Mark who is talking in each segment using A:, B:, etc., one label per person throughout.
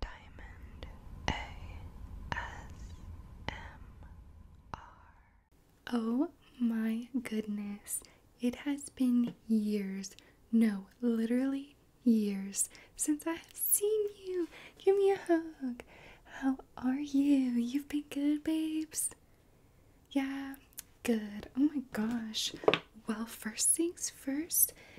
A: Diamond ASMR. Oh my goodness, it has been years, no, literally years, since I have seen you. Give me a hug. How are you? You've been good, babes. Yeah, good. Oh my gosh. Well, first things first,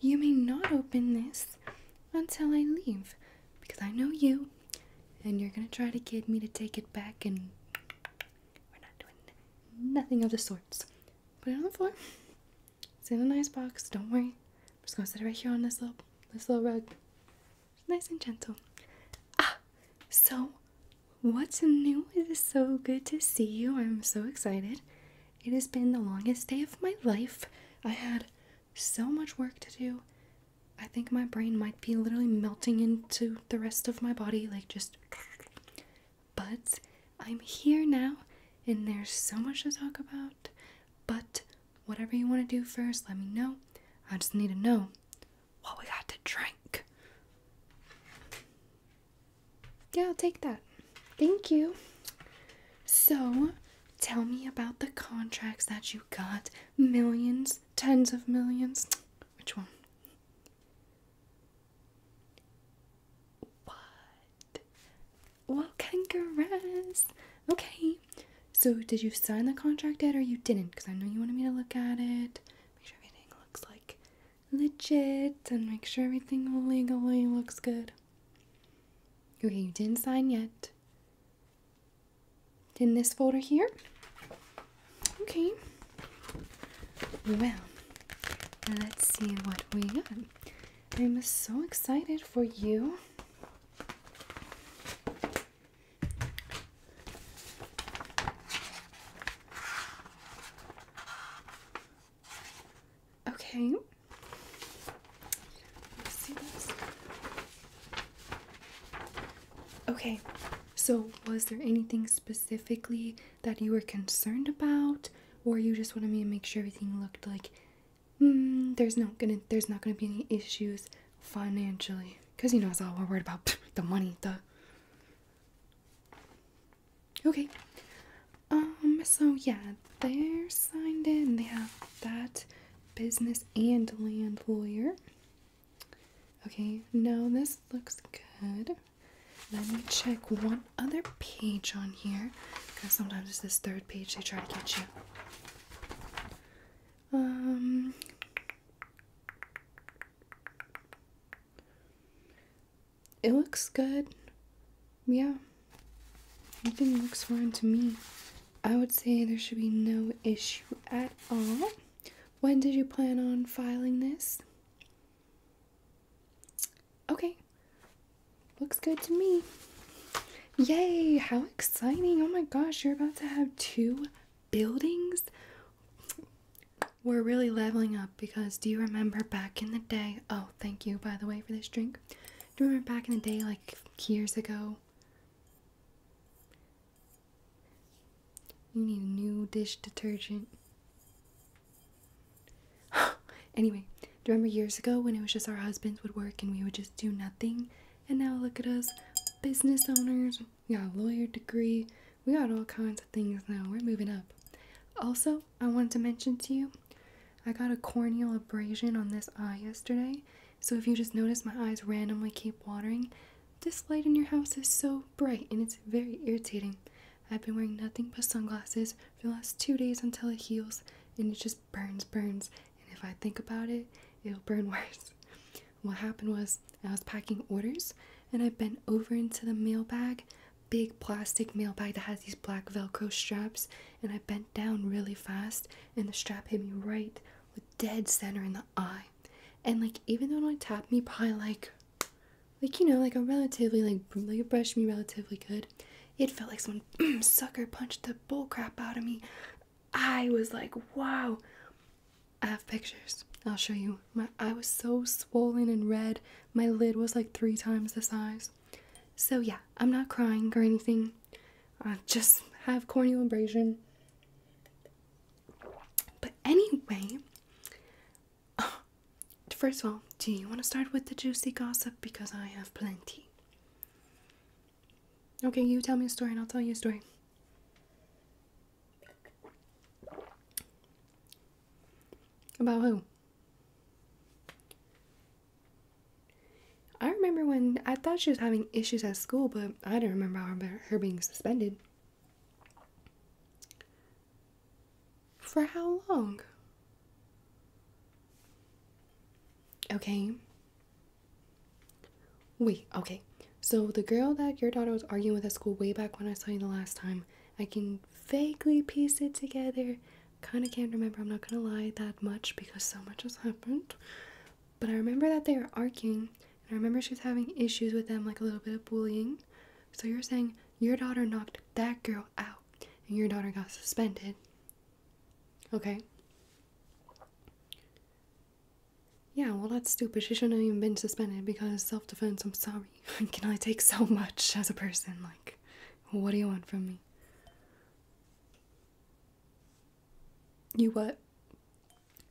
A: You may not open this until I leave because I know you and you're gonna try to kid me to take it back and we're not doing nothing of the sorts. Put it on the floor. It's in a nice box, don't worry. I'm just gonna set it right here on this little this little rug. nice and gentle. Ah so what's new? It is so good to see you. I'm so excited. It has been the longest day of my life. I had so much work to do. I think my brain might be literally melting into the rest of my body, like just. But I'm here now, and there's so much to talk about. But whatever you want to do first, let me know. I just need to know what we got to drink. Yeah, I'll take that. Thank you. So, Tell me about the contracts that you got. Millions, tens of millions. Which one? What? Well, congrats. Okay. So, did you sign the contract yet or you didn't? Because I know you wanted me to look at it. Make sure everything looks like legit and make sure everything legally looks good. Okay, you didn't sign yet. In this folder here? Okay. Well, let's see what we got. I'm so excited for you. Okay. Okay. So, was there anything specifically that you were concerned about, or you just wanted me to make sure everything looked like hmm, there's not gonna there's not gonna be any issues financially? Cause you know, it's all we're worried about the money. The okay. Um, so yeah, they're signed in. They have that business and land lawyer. Okay, No, this looks good. Let me check one other page on here because sometimes it's this third page they try to catch you. Um, it looks good. Yeah, Nothing looks foreign to me. I would say there should be no issue at all. When did you plan on filing this? Okay. Looks good to me. Yay! How exciting! Oh my gosh, you're about to have two buildings? We're really leveling up because do you remember back in the day? Oh, thank you, by the way, for this drink. Do you remember back in the day, like years ago? You need a new dish detergent. anyway, do you remember years ago when it was just our husbands would work and we would just do nothing? And now look at us, business owners. We got a lawyer degree. We got all kinds of things now. We're moving up. Also, I wanted to mention to you I got a corneal abrasion on this eye yesterday. So if you just notice my eyes randomly keep watering, this light in your house is so bright and it's very irritating. I've been wearing nothing but sunglasses for the last two days until it heals and it just burns, burns. And if I think about it, it'll burn worse. What happened was I was packing orders and I bent over into the mail bag big plastic mail bag that has these black velcro straps and i bent down really fast and the strap hit me right dead center in the eye and like even though it only tapped me probably like like you know like a relatively like like it brushed me relatively good it felt like someone sucker punched the bullcrap out of me i was like wow i have pictures i'll show you my eye was so swollen and red my lid was like three times the size so, yeah, I'm not crying or anything. I just have corneal abrasion. But anyway, first of all, do you want to start with the juicy gossip? Because I have plenty. Okay, you tell me a story and I'll tell you a story. About who? I remember when I thought she was having issues at school, but I do not remember her being suspended. For how long? Okay. Wait, okay. So the girl that your daughter was arguing with at school way back when I saw you the last time, I can vaguely piece it together. Kind of can't remember, I'm not gonna lie, that much because so much has happened. But I remember that they were arguing, and I remember she was having issues with them, like a little bit of bullying. So you're saying your daughter knocked that girl out, and your daughter got suspended. Okay. Yeah, well, that's stupid. She shouldn't have even been suspended because self defense. I'm sorry. Can I take so much as a person. Like, what do you want from me? You what?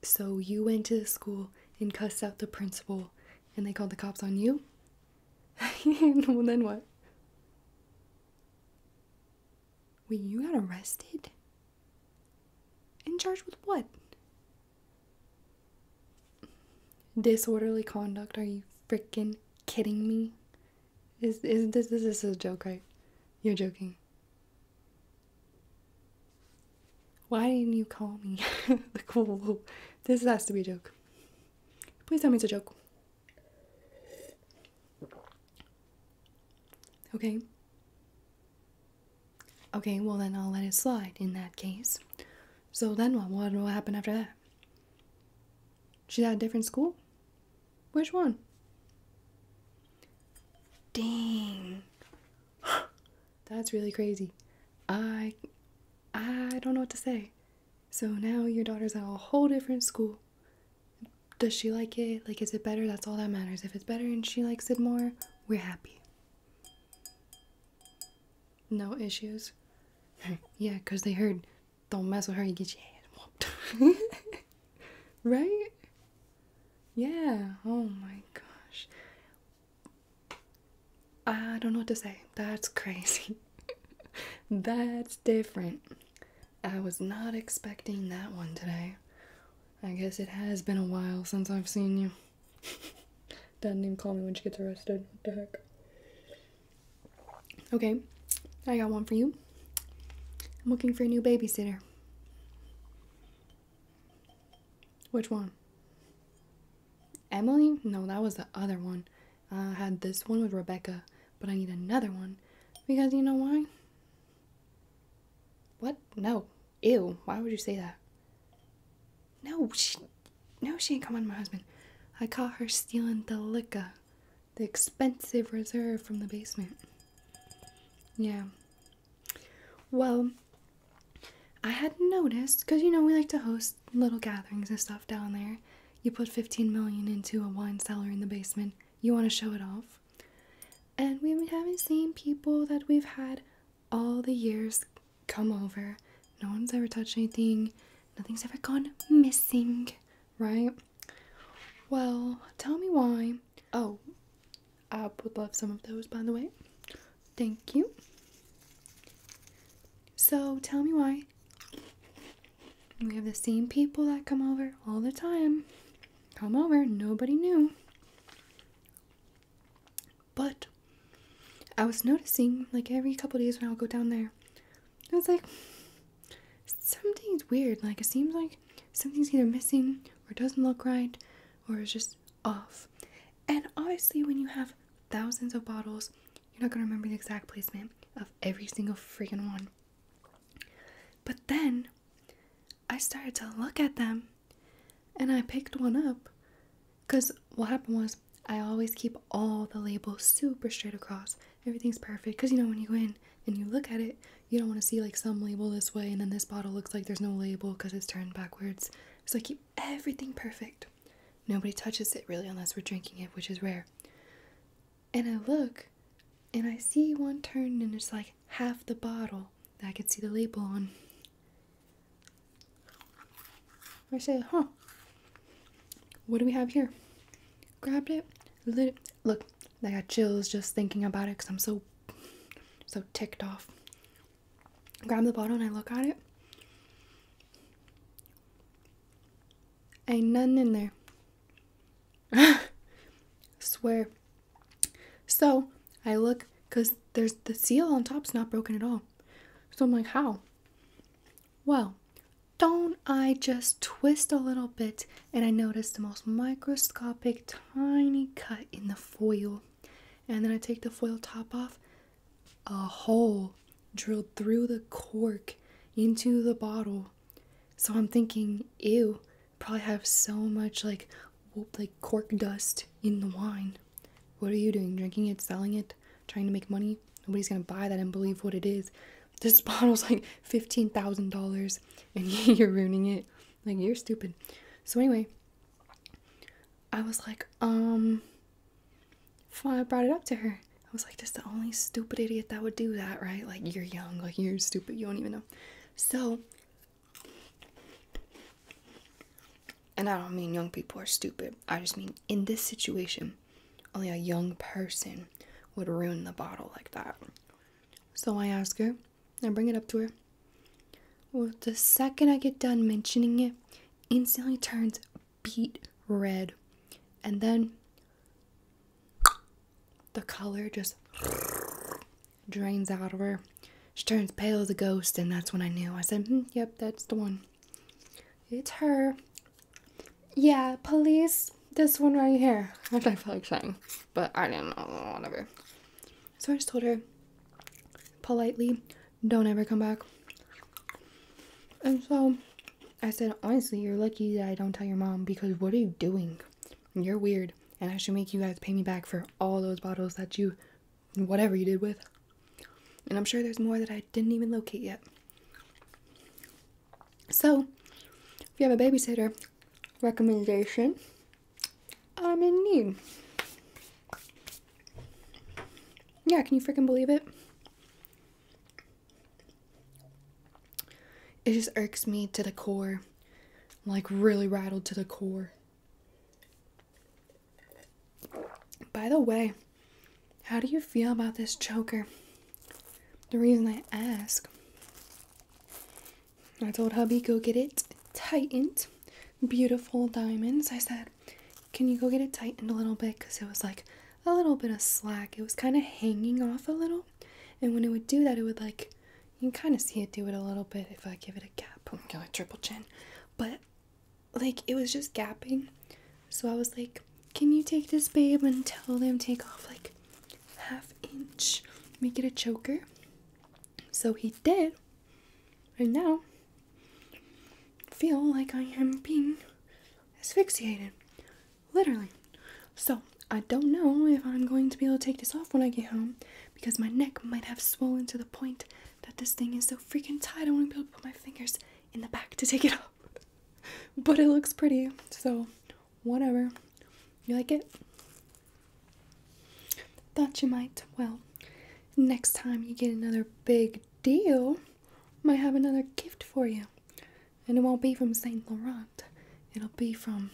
A: So you went to the school and cussed out the principal and they called the cops on you? well, then what? Wait, you got arrested? And charged with what? Disorderly conduct, are you freaking kidding me? Is is this this a joke, right? You're joking. Why didn't you call me? like, This has to be a joke. Please tell me it's a joke. Okay. Okay, well then I'll let it slide in that case. So then what? What will happen after that? She's at a different school? Which one? Dang. That's really crazy. I I don't know what to say. So now your daughter's at a whole different school. Does she like it? Like is it better? That's all that matters. If it's better and she likes it more, we're happy. No issues. yeah, because they heard, don't mess with her, you get your head whooped. right? Yeah, oh my gosh. I don't know what to say. That's crazy. That's different. I was not expecting that one today. I guess it has been a while since I've seen you. Doesn't even call me when she gets arrested. What the heck? Okay, I got one for you. I'm looking for a new babysitter. Which one? Emily? No, that was the other one. I had this one with Rebecca, but I need another one. Because you know why? What? No. Ew, why would you say that? No, she, no, she ain't coming, my husband. I caught her stealing the liquor, the expensive reserve from the basement. Yeah. Well, I had noticed, because you know we like to host little gatherings and stuff down there. You put 15 million into a wine cellar in the basement, you want to show it off. And we haven't seen people that we've had all the years come over. No one's ever touched anything. Nothing's ever gone missing, right? Well, tell me why. Oh, I would love some of those, by the way. Thank you. So, tell me why we have the same people that come over all the time. Come over, nobody knew. But I was noticing, like every couple days when I will go down there, I was like, something's weird. Like it seems like something's either missing or doesn't look right or is just off. And obviously, when you have thousands of bottles, you're not gonna remember the exact placement of every single freaking one. But then I started to look at them and I picked one up because what happened was, I always keep all the labels super straight across. Everything's perfect. Because you know, when you go in and you look at it, you don't want to see like some label this way and then this bottle looks like there's no label because it's turned backwards. So I keep everything perfect. Nobody touches it really unless we're drinking it, which is rare. And I look and I see one turned and it's like half the bottle that I could see the label on. I say, huh, what do we have here? Grabbed it, lit Look, I got chills just thinking about it because I'm so, so ticked off. Grab the bottle and I look at it. Ain't none in there. Swear. So I look because there's the seal on top's not broken at all. So I'm like, how? Well, don't I just twist a little bit and I notice the most microscopic tiny cut in the foil. And then I take the foil top off, a hole drilled through the cork into the bottle. So I'm thinking, ew, probably have so much like like cork dust in the wine. What are you doing? Drinking it, selling it, trying to make money? Nobody's gonna buy that and believe what it is. This bottle's like $15,000 and you're ruining it. Like, you're stupid. So, anyway, I was like, um, I brought it up to her. I was like, that's the only stupid idiot that would do that, right? Like, you're young, like, you're stupid, you don't even know. So, and I don't mean young people are stupid. I just mean in this situation, only a young person would ruin the bottle like that. So I ask her, I bring it up to her. Well, the second I get done mentioning it, instantly turns beet red. And then the color just drains out of her. She turns pale as a ghost, and that's when I knew. I said, hmm, Yep, that's the one. It's her. Yeah, police. This one right here. Which I feel like saying, but I didn't know. Whatever. So I just told her politely, don't ever come back. And so I said, honestly, you're lucky that I don't tell your mom because what are you doing? You're weird. And I should make you guys pay me back for all those bottles that you whatever you did with. And I'm sure there's more that I didn't even locate yet. So, if you have a babysitter recommendation, I'm in need. Yeah, can you freaking believe it? It just irks me to the core. like, really rattled to the core. By the way, how do you feel about this choker? The reason I ask, I told hubby, go get it tightened. Beautiful diamonds. I said, can you go get it tightened a little bit? Because it was like a little bit of slack. It was kind of hanging off a little. And when it would do that, it would like, you can kind of see it do it a little bit if I give it a gap. I'm triple chin. But like it was just gapping. So I was like, Can you take this babe and tell them take off like half inch? Make it a choker. So he did. And now feel like I am being asphyxiated. Literally. So I don't know if I'm going to be able to take this off when I get home because my neck might have swollen to the point that this thing is so freaking tight. I want to be able to put my fingers in the back to take it off. but it looks pretty, so whatever. You like it? Thought you might. Well, next time you get another big deal, might have another gift for you. And it won't be from Saint Laurent. It'll be from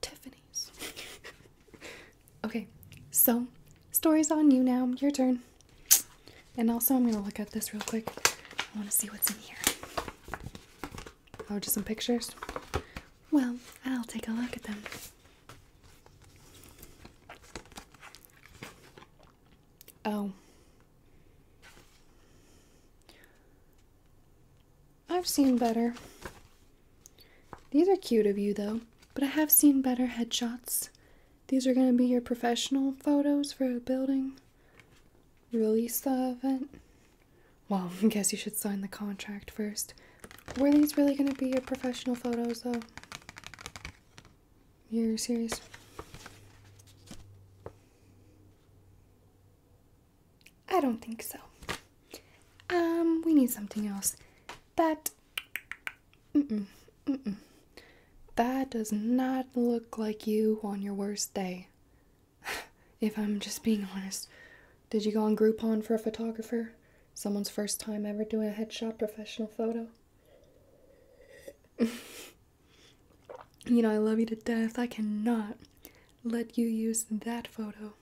A: Tiffany. okay, so story's on you now. Your turn. And also, I'm gonna look at this real quick. I want to see what's in here. Oh, just some pictures. Well, I'll take a look at them. Oh. I've seen better. These are cute of you though, but I have seen better headshots. These are going to be your professional photos for a building release the event. Well, I guess you should sign the contract first. Were these really going to be your professional photos though? You're serious? I don't think so. Um, we need something else. That. Mm-mm. Mm-mm. That does not look like you on your worst day. if I'm just being honest. Did you go on Groupon for a photographer? Someone's first time ever doing a headshot professional photo? you know, I love you to death. I cannot let you use that photo.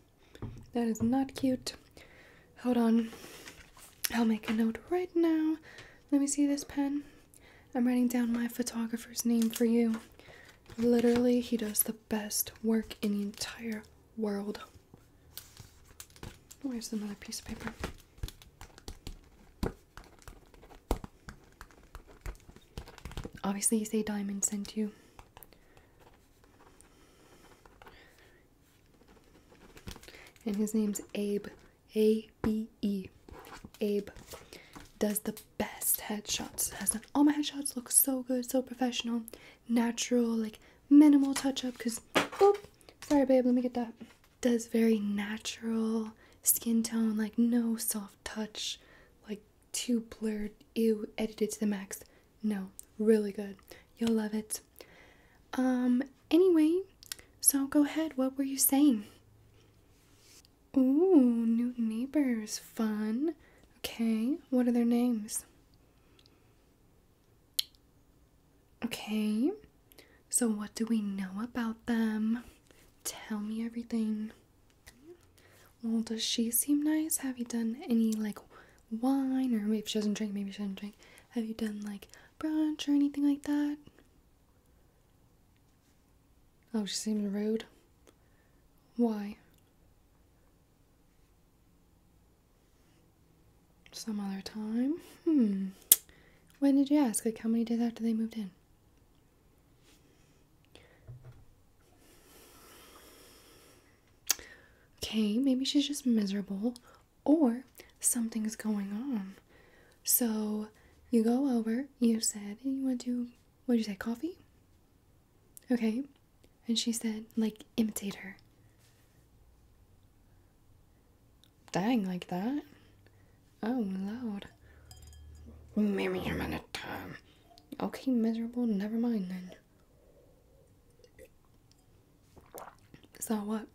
A: That is not cute. Hold on. I'll make a note right now. Let me see this pen. I'm writing down my photographer's name for you. Literally, he does the best work in the entire world. Where's another piece of paper? Obviously, you say Diamond sent you. And his name's Abe. A B E. Abe does the best headshots. Has done all my headshots look so good, so professional, natural, like minimal touch up. Cause, oh, sorry, babe, let me get that. Does very natural skin tone, like no soft touch, like too blurred, ew, edited to the max. No, really good. You'll love it. Um, anyway, so go ahead. What were you saying? Ooh, new neighbors. Fun. Okay, what are their names? Okay, so what do we know about them? Tell me everything. Well, does she seem nice? Have you done any like wine, or maybe if she doesn't drink, maybe she doesn't drink. Have you done like brunch or anything like that? Oh, she seems rude. Why? Some other time? Hmm. When did you ask? Like, how many days after they moved in? Okay, maybe she's just miserable or something's going on. So you go over, you said, you want to, what did you say, coffee? Okay. And she said, like, imitate her. Dang, like that? Oh, loud. Maybe I'm out time. Okay, miserable, never mind then. So what?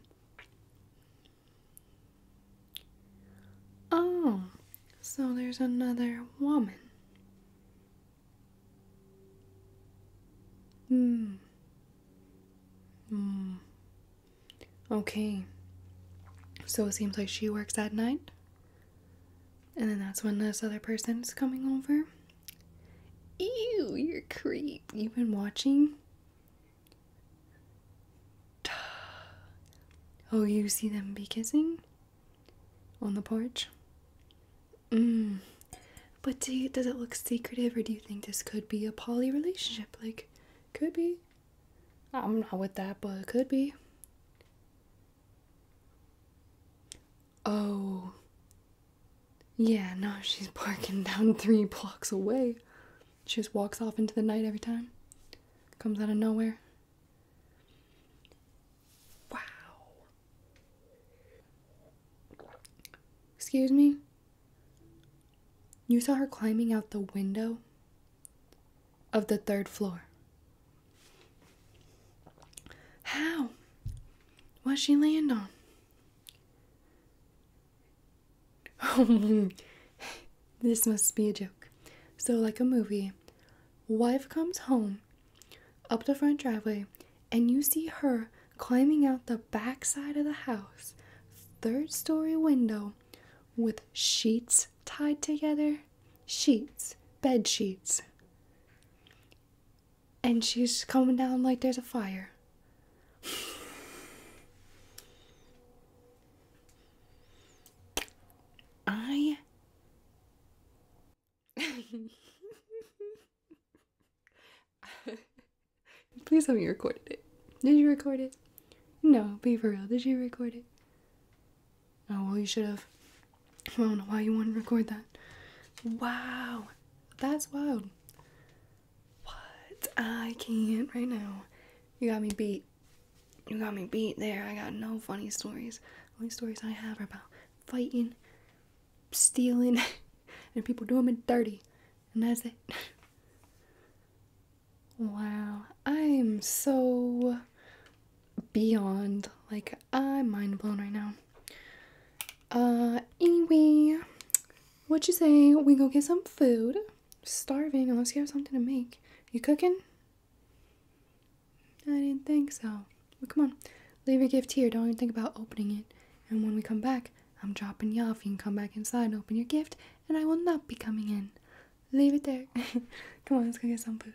A: Oh, so there's another woman. Hmm. Hmm. Okay. So it seems like she works at night. And then that's when this other person is coming over. Ew, you're creepy. You've been watching? Oh, you see them be kissing? On the porch? Mmm. But do does it look secretive or do you think this could be a poly relationship? Like, could be. I'm not with that, but it could be. Oh. Yeah, no, she's parking down three blocks away. She just walks off into the night every time. Comes out of nowhere. Wow. Excuse me? You saw her climbing out the window of the third floor. How? what she land on? Oh, this must be a joke. So, like a movie, wife comes home up the front driveway, and you see her climbing out the back side of the house, third story window, with sheets tied together. Sheets, bed sheets and she's coming down like there's a fire. I. Please tell me you recorded it. Did you record it? No, be for real. Did you record it? Oh, well, you should have. I don't know why you want to record that. Wow, that's wild. What? I can't right now. You got me beat. You got me beat there. I got no funny stories. Only stories I have are about fighting, stealing, and people doing me dirty. And that's it. Wow, I'm so beyond like I'm mind blown right now. Uh anyway, what you say we go get some food? Starving unless you have something to make. You cooking? I didn't think so. Well, come on, leave your gift here. Don't even think about opening it. And when we come back, I'm dropping you off. You can come back inside and open your gift, and I will not be coming in. Leave it there. come on, let's go get some food.